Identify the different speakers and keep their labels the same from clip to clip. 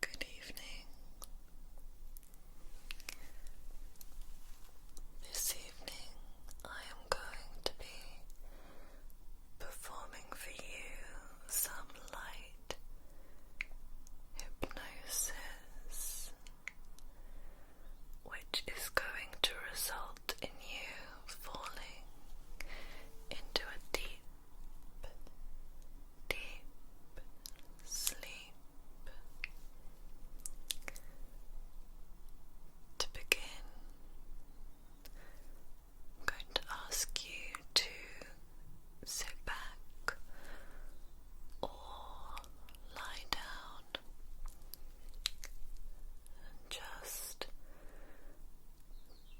Speaker 1: Good evening. This evening I am going to be performing for you some light hypnosis which is going to result in you falling into a deep, deep sleep. To begin, I'm going to ask you to sit back or lie down and just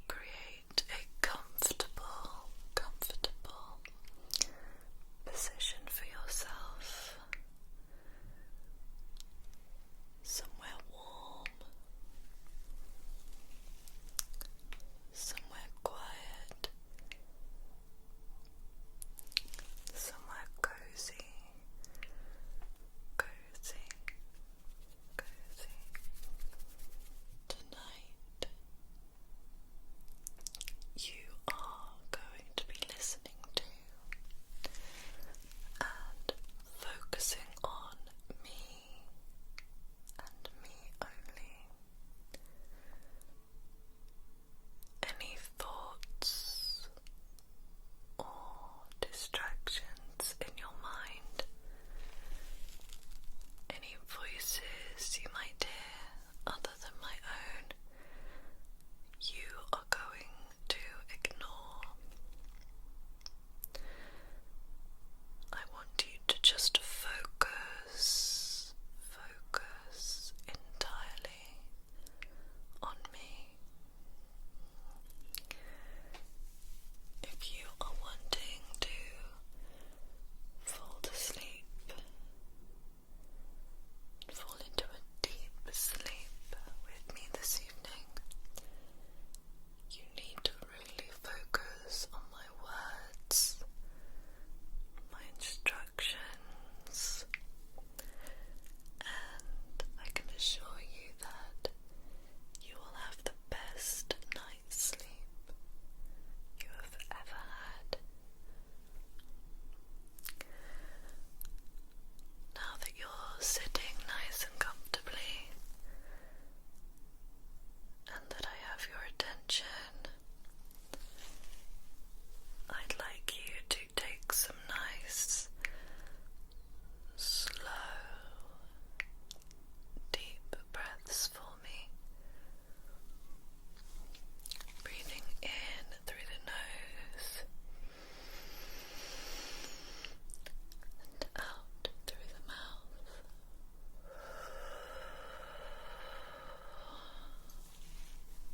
Speaker 1: create a comfortable, comfortable position for yourself. Somewhere warm, somewhere quiet, Somewhere cozy, cozy, cozy tonight. You are going to be listening to and focusing on me and me only any thoughts or distractions in your mind, any voices you might hear other than my own, you are going to ignore. I want you to just focus, focus entirely on me. If you are wanting to fall asleep, fall into a deep sleep with me this evening, you need to really focus on my words, my instructions and I can assure you that you will have the best night's sleep you have ever had. Now that you're sitting nice and comfortably, and that I have your attention, I'd like you to take some nice, slow, deep breaths for me. Breathing in through the nose and out through the mouth.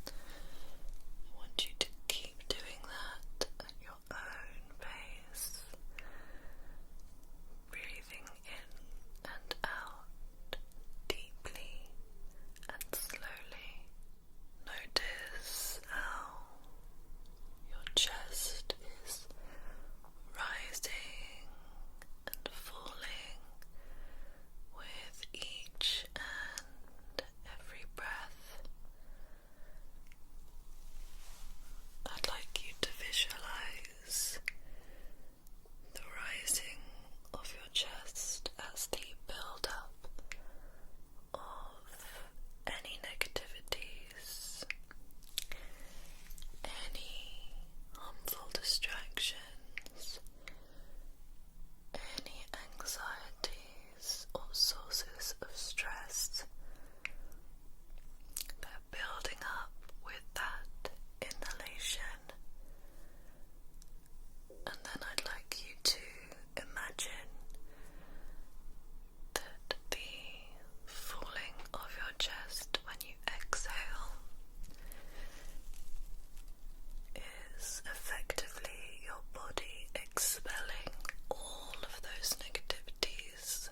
Speaker 1: I want you to keep doing that at your own pace, breathing in and out deeply and slowly. Notice how your chest is rising and falling with each and every breath. I'd like you to visualize the rising of your chest as the build of any negativities, any harmful distractions, any anxieties or sources of stress that are building up with that inhalation and then I'd like you to imagine that the falling of your chest when you exhale is effectively your body expelling all of those negativities,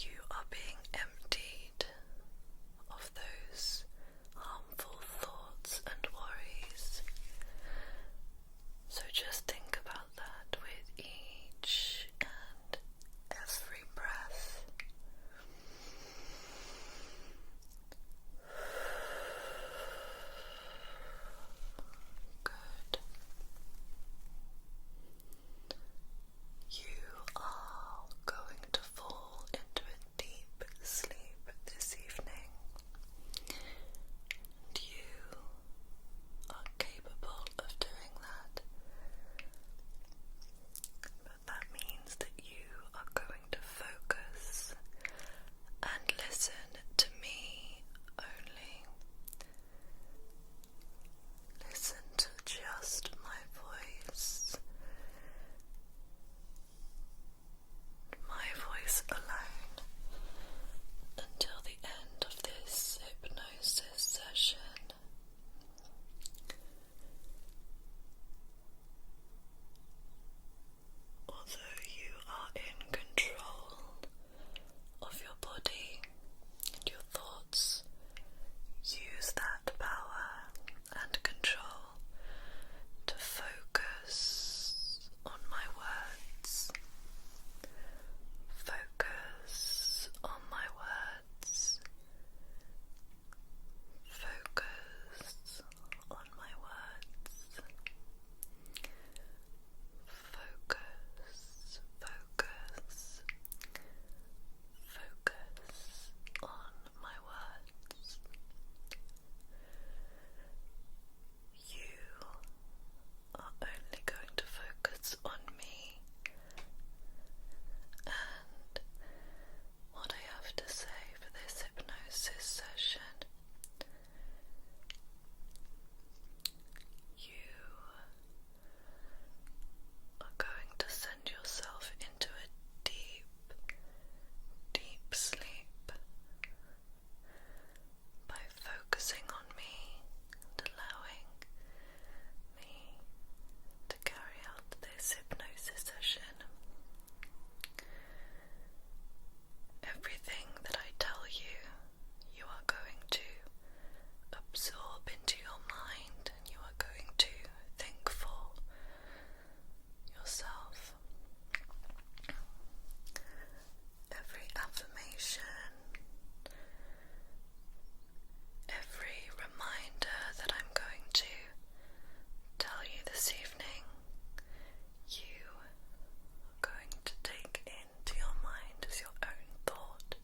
Speaker 1: you are being emptied of those harmful thoughts and worries. So just think about that with each and every breath. Good. You are going to fall into a deep sleep this evening, and you are capable of doing that that means that you are going to focus and listen to me only. Listen to just my voice. My voice alone until the end of this hypnosis session. Although you are in control of your body and your thoughts, use that power and control to focus on my words. Focus on my words. Focus on my words. Focus, focus, focus on my words. You are only going to focus on me, and what I have to say for this hypnosis session. You are going to send yourself into a deep, deep sleep by focusing on me and allowing me to carry out this hypnosis session. Everything that I tell you, you are going to absorb into your mind and you are going to think for yourself. Every affirmation, every reminder that I'm going to tell you this evening, you are going to take into your mind as your own thought.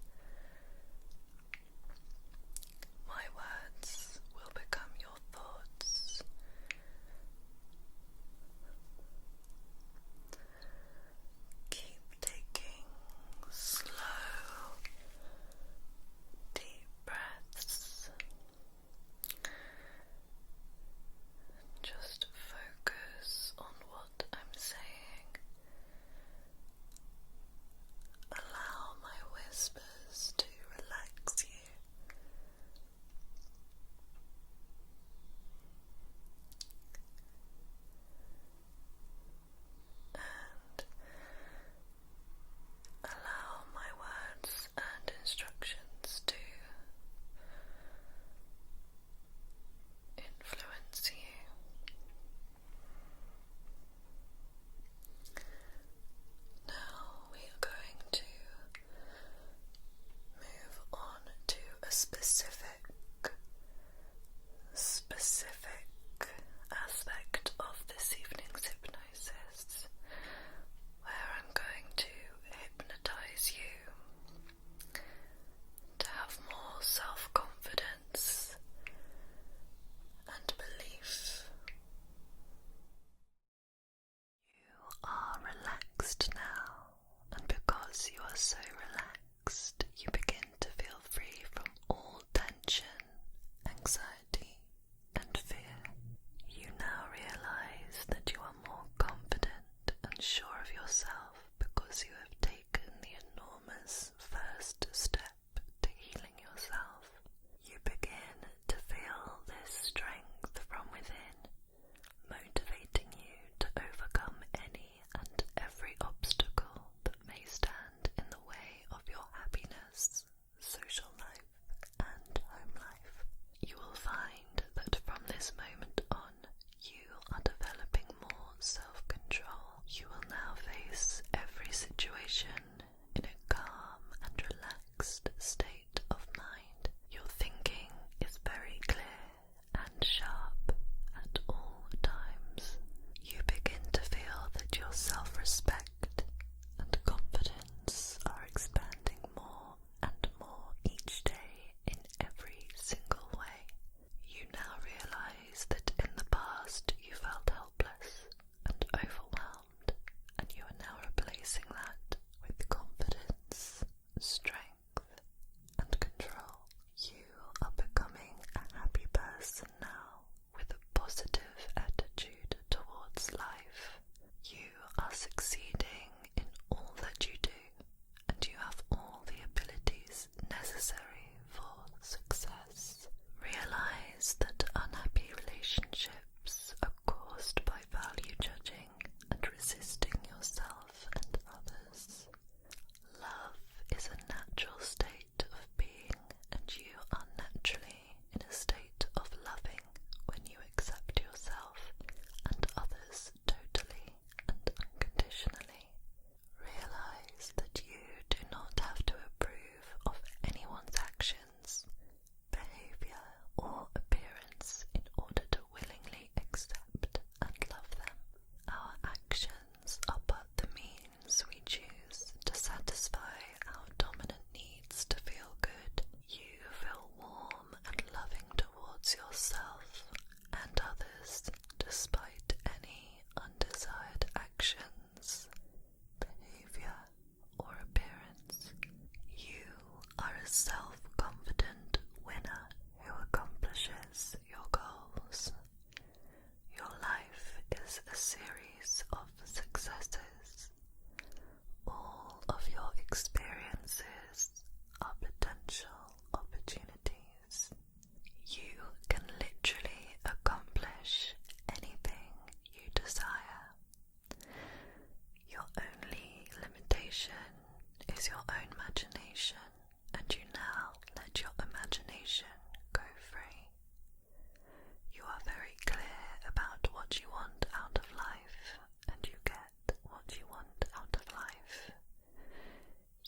Speaker 1: My words will become your thoughts. Keep taking slow, deep breaths. Just focus on what I'm saying. Allow my whispers to relax you. And allow my words and instructions to influence you. Now we are going to move on to a specific, specific aspect of this evening's hypnosis where I'm going to hypnotize you to have more self confidence and belief. You are relaxed now, and because you are so relaxed, you begin to feel free from all tension, anxiety, and fear. You now realize that you are more confident and sure of yourself because you have taken the enormous first step to healing yourself. You begin to feel this strength from within, motivating you to overcome any and every obstacle that may stand in the way of your happiness social life, and home life. You will find that from this moment on, you are developing more self control. You will now face every situation in a calm and relaxed state of mind. Your thinking is very clear and sharp at all times. You begin to feel that your self respect and confidence are expanding more and more each day in every single way. You now realize that in the past you felt helpless and overwhelmed, and you are now replacing that with confidence, strength, and control. You are becoming a happy person now with a positive attitude towards life. You you are succeeding in all that you do, and you have all the abilities necessary for success. Realize that unhappy relationships are caused by value judging and resisting yourself and others. Love is a natural state of being, and you are naturally in a state of loving when you accept yourself and others totally and unconditionally. Realize that you do not have to approve of anyone's actions, behavior, or appearance in order to willingly accept and love them. Our actions are but the means we choose to satisfy our dominant needs to feel good. You feel warm and loving towards yourself and others despite any undesired actions, behavior, or appearance. You are a self confident winner who accomplishes your goals. Your life is a series of successes all of your experiences are potential opportunities. You can literally accomplish anything you desire. Your only limitation is your own imagination, and you now let your imagination go free. You are very clear about what you want out of life and you get what you want out of life.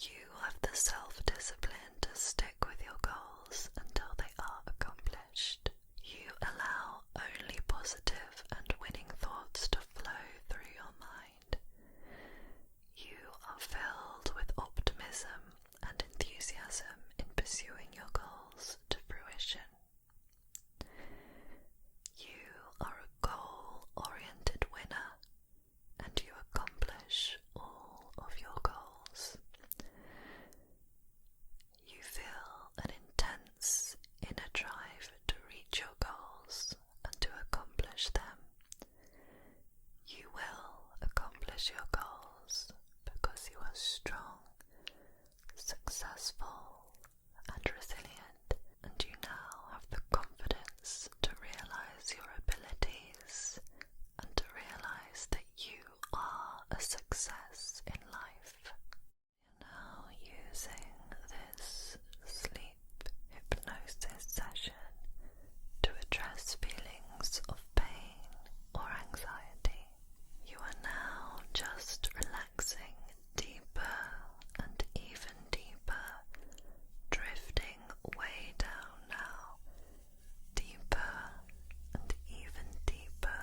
Speaker 1: You have the self discipline to stick with your goals until they are accomplished. You allow only positive and winning thoughts to flow through your mind. You are filled with optimism and enthusiasm in pursuing your goals to fruition. You are a goal oriented winner and you accomplish all of your goals. You feel an intense inner drive to reach your goals and to accomplish them. You will accomplish your goals because you are strong, successful, and resilient, and you now have the confidence to realize your abilities and to realize that you are a success in life. You're now using this sleep hypnosis session to address feelings of pain or anxiety. You are now just relaxed relaxing deeper and even deeper, drifting way down now, deeper and even deeper,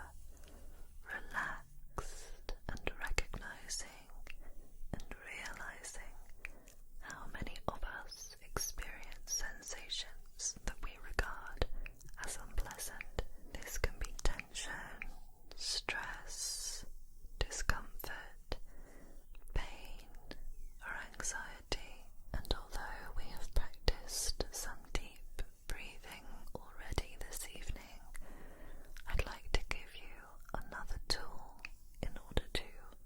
Speaker 1: relaxed and recognizing and realizing how many of us experience sensations that we regard as unpleasant. This can be tension stress, discomfort, pain, or anxiety, and although we have practiced some deep breathing already this evening, I'd like to give you another tool in order to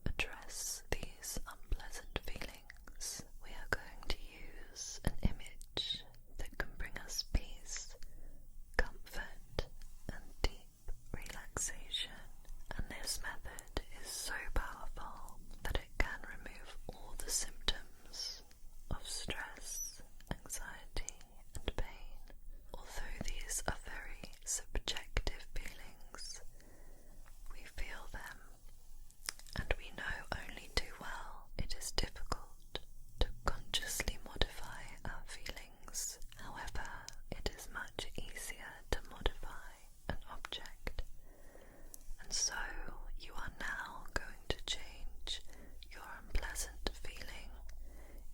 Speaker 1: address these unpleasant feelings. We are going to use an image that can bring us peace, comfort, and deep relaxation. And this method is so powerful that it can remove all the symptoms of stress, anxiety, and pain. Although these are very subjective feelings, we feel them and we know only too well it is difficult to consciously modify our feelings. However, it is much easier to modify an object. And so you are now going to change your unpleasant feeling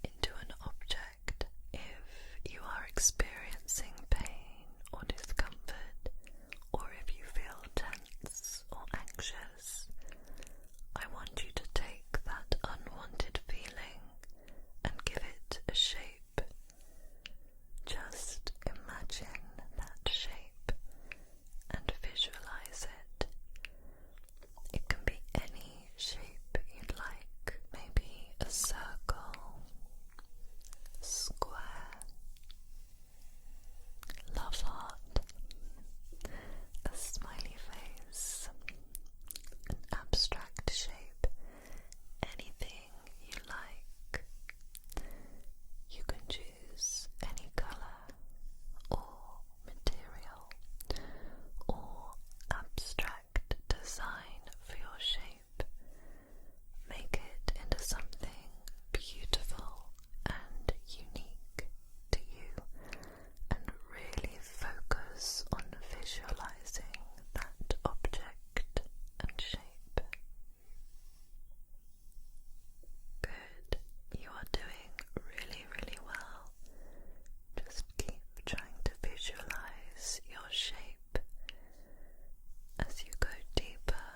Speaker 1: into an object. If you are experiencing pain or discomfort, or if you feel tense or anxious, I want you to take that unwanted feeling and give it a shape. Just imagine that shape and visualize it. It can be any shape you'd like, maybe a circle, square, love heart a smiley face, an abstract shape, anything you like. You can choose any colour or material or abstract design for your shape. Make it into something beautiful and unique to you and really focus on visualizing that object and shape. Good, you are doing really, really well. Just keep trying to visualize your shape as you go deeper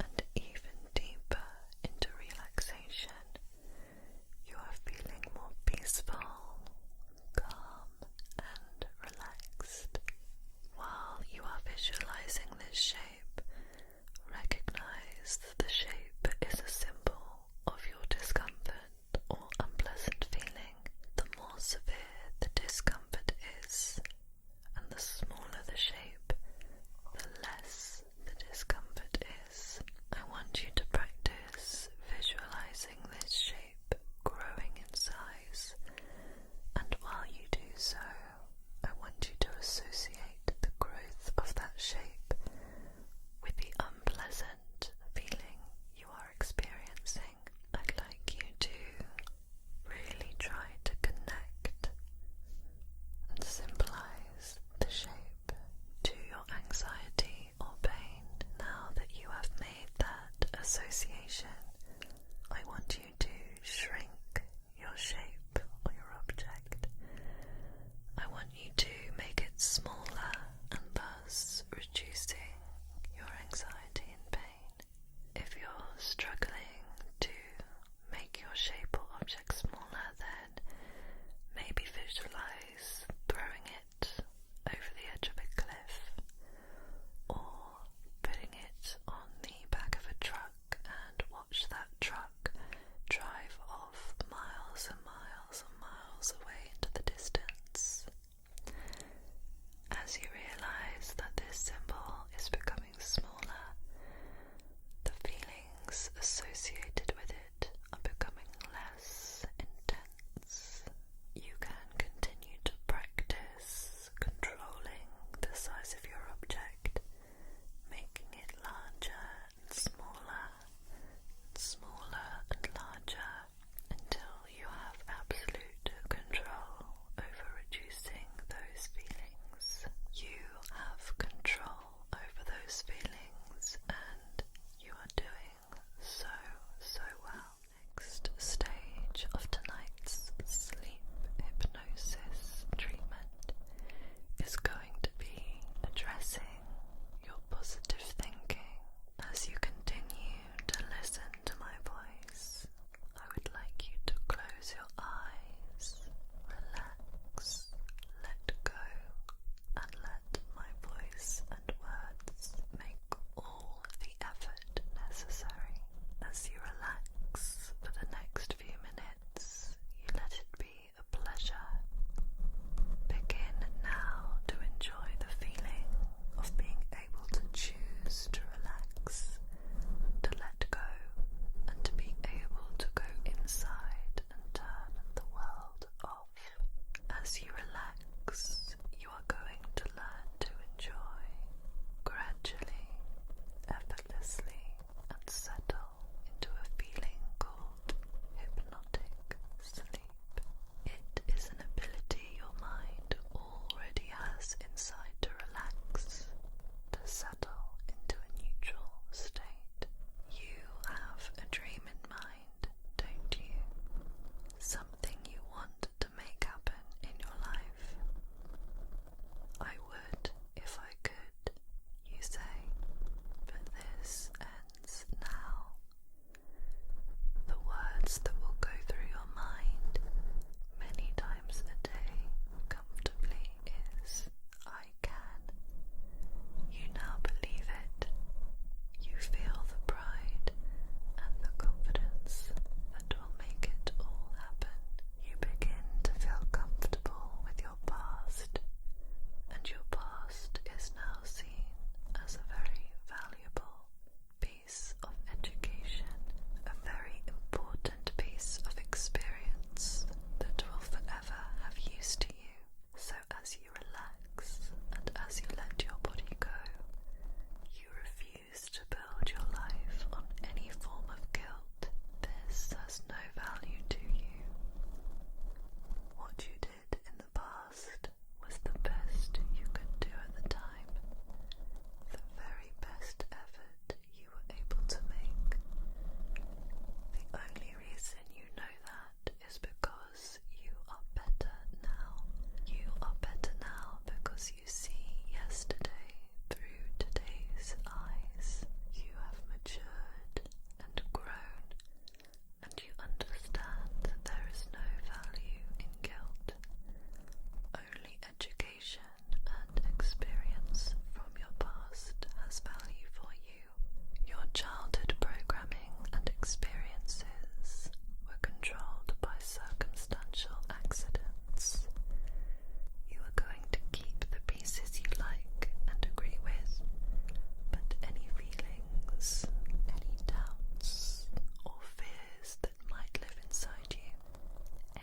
Speaker 1: and even deeper into relaxation you are feeling more peaceful, calm, and relaxed. While you are visualizing this shape, recognize that the shape is a symbol of your discomfort or unpleasant feeling. The more severe the discomfort is, and the smaller the shape, the less the discomfort is. I want you to practice visualizing this shape growing in size, and while you do so, I want you to associate the growth of that shape with the unpleasant feeling you are experiencing. I'd like you to really try to connect and symbolize the shape to your anxiety or pain now that you have made that association. I want you to shrink your shape or your object. I want you to make it smaller and thus reducing your anxiety and pain. If you're struggling to make your shape or object smaller, then maybe visualize throwing it over the edge of a cliff or putting it on the back of a truck and watch that truck drive off miles and miles and miles away into the distance. As you realize that this symbol is becoming smaller the feelings associated with it are becoming less intense. You can continue to practice controlling the size of your object, making it larger and smaller, and smaller and larger, until you have absolute control over reducing those feelings. You have control over those feelings, and you are doing so, so well. Next stage of tonight's sleep hypnosis treatment is going to be addressing your positive thinking. As you continue to listen to my voice, I would like you to close your eyes, relax, let go, and let my voice and words make all the effort necessary. As you relax for the next few minutes, you let it be a pleasure. Begin now to enjoy the feeling of being able to choose to relax, to let go, and to be able to go inside and turn the world as you relax, you are going to learn to enjoy gradually, effortlessly, and settle into a feeling called hypnotic sleep. It is an ability your mind already has inside to relax, to settle into a neutral state. You have a dream in mind, don't you? Something you want to make happen in your life. I would if I could, you say, but this ends now. The words that will go through your mind many times a day comfortably is I I can. You now believe it. You feel the pride and the confidence that will make it all happen. You begin to feel comfortable with your past, and your past is now seen as a very valuable piece of education, a very important piece of experience that will forever have use to you. So as you relax and as you let your body go, you refuse to build your life on any form of guilt. This has no value to you. What you did in the past was the best you could do at the time, the very best effort you were able to make. The only reason you know that that is because you are better now. You are better now because you see yesterday through today's eyes. You have matured and grown, and you understand that there is no value in guilt, only education and experience from your past has value for you your childhood programming and experiences were controlled by circumstantial accidents. You are going to keep the pieces you like and agree with, but any feelings, any doubts, or fears that might live inside you,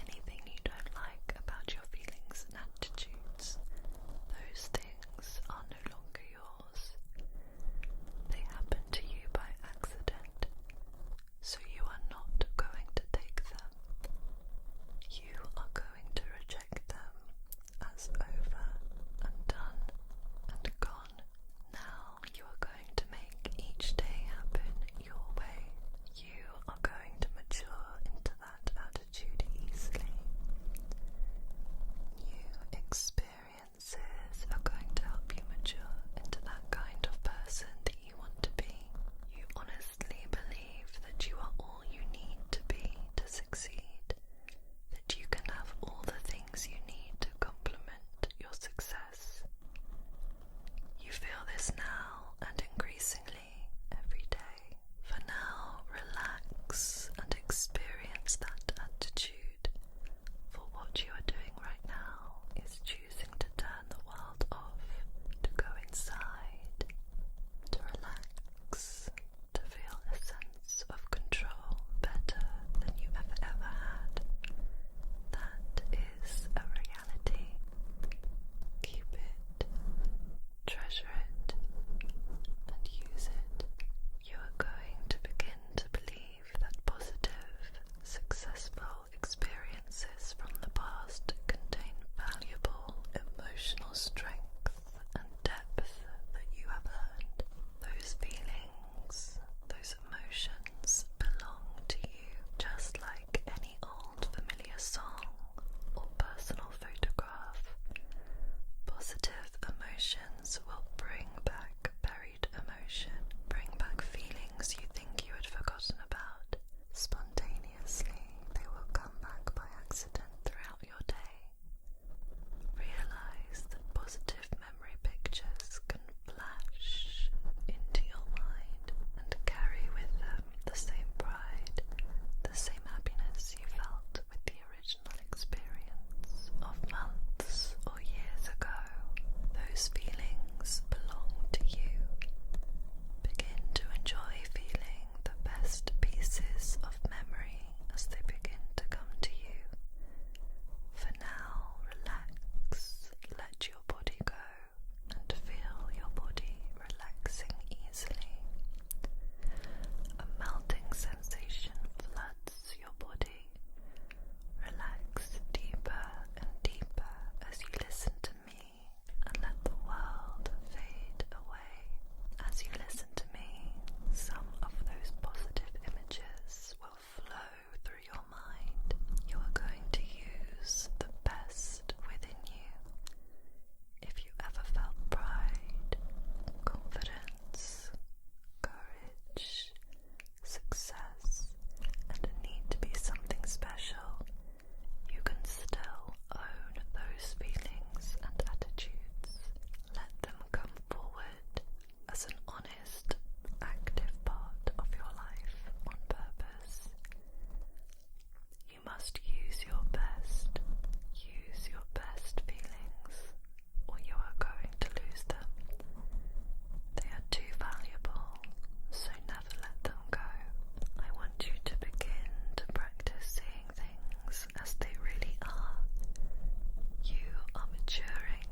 Speaker 1: anything you don't like about your feelings and attitudes, those things are no longer yours. They happen to you by accident, so you are not going to take them. You are going to reject them as over and done and gone. Now you are going to make each day happen your way. You are going to mature into that attitude easily. New experiences are going to help you mature into that kind of person that you want to be. You honestly believe that you are all you need to be to succeed, that you can have all the things you need to complement your success. You feel this now and increasingly every day. For now, relax and experience that attitude. For what you are doing right now is choosing to turn the world off, to go inside, to relax, to feel a sense of control better than you have ever had. That is a reality. Keep it treasure it, and use it, you are going to begin to believe that positive, successful experiences from the past contain valuable emotional strength and depth that you have learned. Those feelings, those emotions belong to you just like any old familiar song or personal photograph. Positive emotions will bring back buried emotion, bring back feelings you think you had forgotten about. Spontaneously, they will come back by accident throughout your day. Realize that positive memory pictures can flash into your mind and carry with them the same pride, the same happiness you felt with the the original experience of months or years ago. Those feelings belong to you. Begin to enjoy feeling the best pieces of memory as they begin to come to you. For now, relax, let your body go, and feel your body relaxing easily. A melting sensation floods your body. Relax deeper and deeper as you listen to me and let the world fade away. As you listen to me, some of those positive images will flow through your mind. You are going to use the best within you. If you ever felt pride, confidence, courage, success, and need to be something special, you can still own those feelings and attitudes. Let them come forward as an honest, active part of your life on purpose. You must use your best, use your best feelings or you are going to lose them. They are too valuable, so never let them go. I want you to begin to practice seeing things as they really are. You are maturing,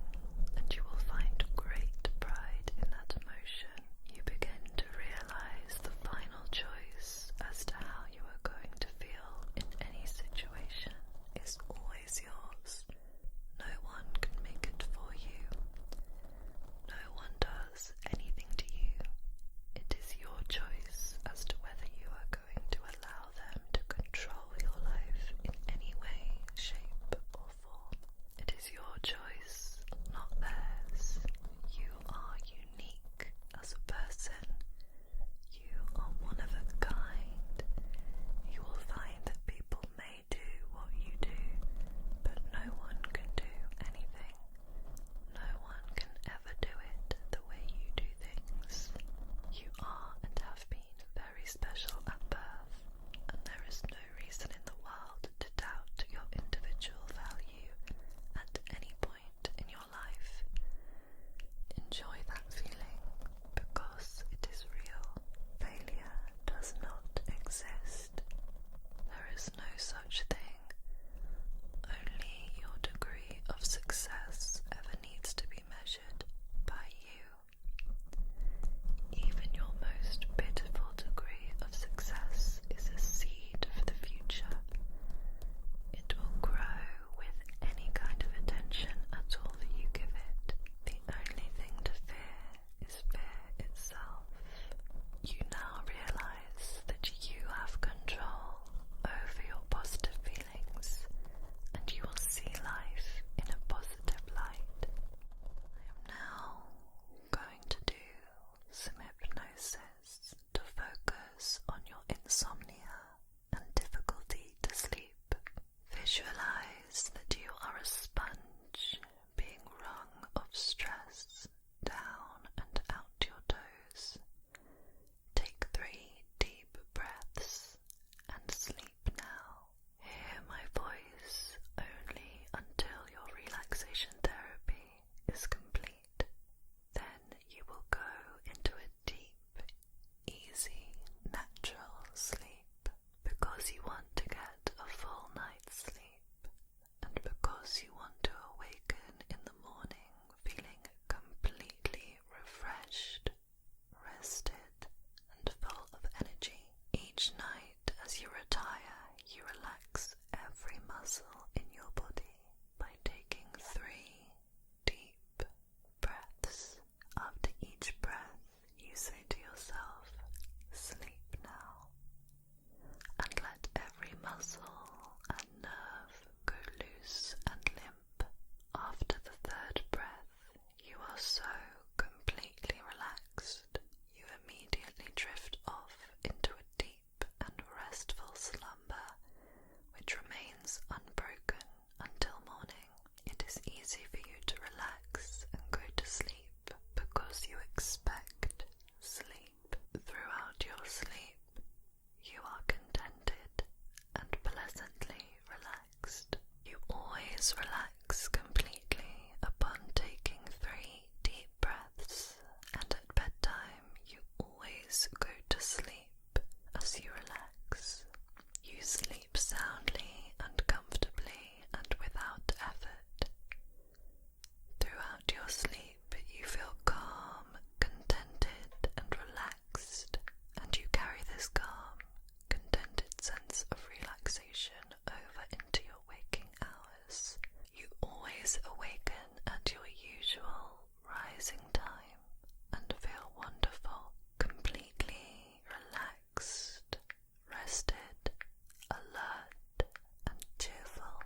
Speaker 1: and you will find great pride in that emotion. You begin to realize the final choice as to how you are going to feel in any situation is always yours. No one can make it for you. No one does anything to you. It is your choice as to whether you are going to allow them to control your life in any way, shape, or form. It is your choice, not theirs. You are unique as a person, you are one of a kind. You will find that people may do what you do, but no one can do anything. No one can ever do it the way you do things. You are and have been very special at birth, and there is no reason in the world to doubt your individual value at any point in your life. Enjoy that feeling because it is real. Failure does not exist. There is no such thing. Only your degree of success ever needs to be measured by you. Even your most pitiful degree of success is a seed for the future. It will grow with any kind of attention at all that you give it. The only thing to fear is fear itself. You now realize that you have control over your positive feelings and you will see life in a positive light. I am now going to do some hypnosis to focus on your insomnia and difficulty to sleep. Visualize that you are a sponge being wrung of stress down and out your toes. Take three deep breaths and sleep now. Hear my voice only until your relaxation therapy is complete. Then you will go into a deep, easy, natural sleep because you want to get a full night's sleep and because you want to awaken in the morning feeling completely refreshed, rested, and full of energy. Each night as you retire, you relax every muscle in your body by taking three deep, breaths. After each breath, you say to yourself, Sleep now, and let every muscle and nerve go loose and limp. After the third breath, you are so completely relaxed, you immediately drift off into a deep and restful slumber which remains unbroken until morning. It is easy for you to relax and go to sleep because you expect sleep. Throughout your sleep, you are contented and pleasantly relaxed. You always relax completely upon taking three deep breaths, and at bedtime, you always go to sleep as you relax. You sleep soundly and comfortably and without effort. Throughout your sleep, you feel calm, contented, and relaxed, and you carry this calm, contented sense of relaxation over into your waking hours. You always awaken at your usual rising time and feel wonderful, completely relaxed, rested, alert, and cheerful.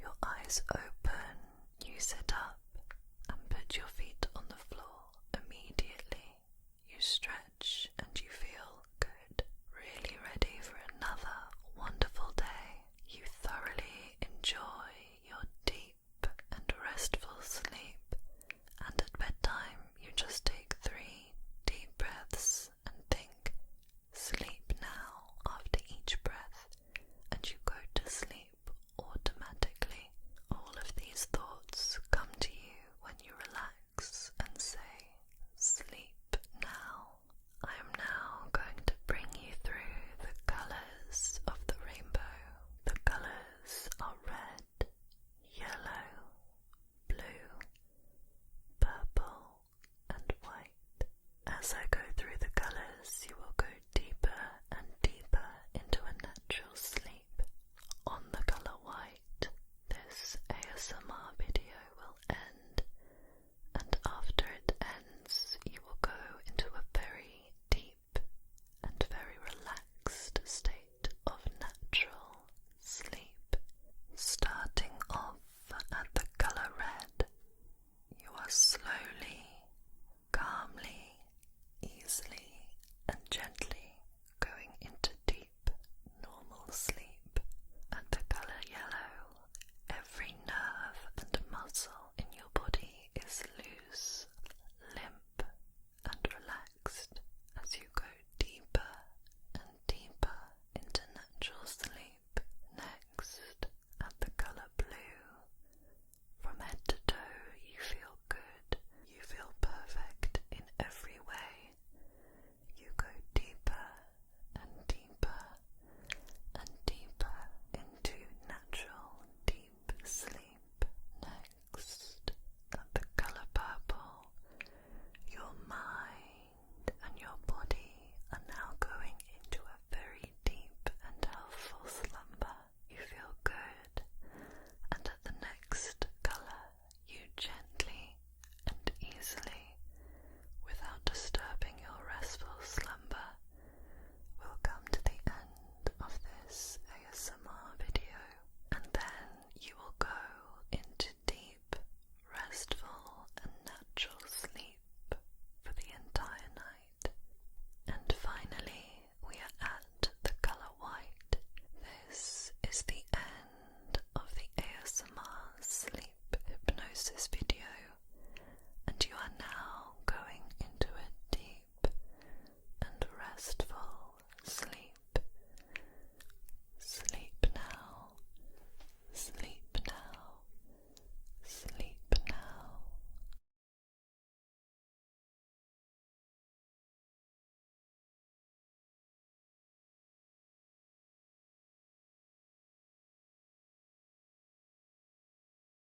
Speaker 1: Your eyes open, you sit up and put your feet on the floor immediately. You stretch and you feel good, really ready for another wonderful day. You thoroughly enjoy your deep and restful sleep, and at bedtime you just take three deep breaths and think, sleep now after each breath, and you go to sleep automatically. All of these thoughts come to you when you relax and say, sleep now. I am now going to bring you through the colors of the rainbow the colors are red, yellow, blue, purple, and white. As I go through the colors, you will go deeper and deeper into a natural sleep. On the color white, this ASMR video will end, and after it ends, you will go into a very deep deep and very relaxed state of natural sleep. Starting off at the color red, you are slowly, calmly, easily, and gently going into deep, normal sleep. At the color yellow, every nerve and muscle in your body is loose, limp, and relaxed as you go deeper and deeper into natural sleep. Next, at the color blue, from head to toe, you feel good. You feel perfect in every way. You go deeper and deeper and deeper into natural, deep. Sleep, Next, that the color purple, your mind and your body are now going into a very deep and healthful slumber. You feel good, and at the next color, you gently and easily, without disturbing your restful slumber, We'll come to the end of this ASMR video and then you will go into deep, restful, and natural sleep for the entire night. And finally, we are at the color white. This is the end of the ASMR sleep hypnosis video, and you are now going into a deep and restful sleep. Sleep now, sleep now, sleep now.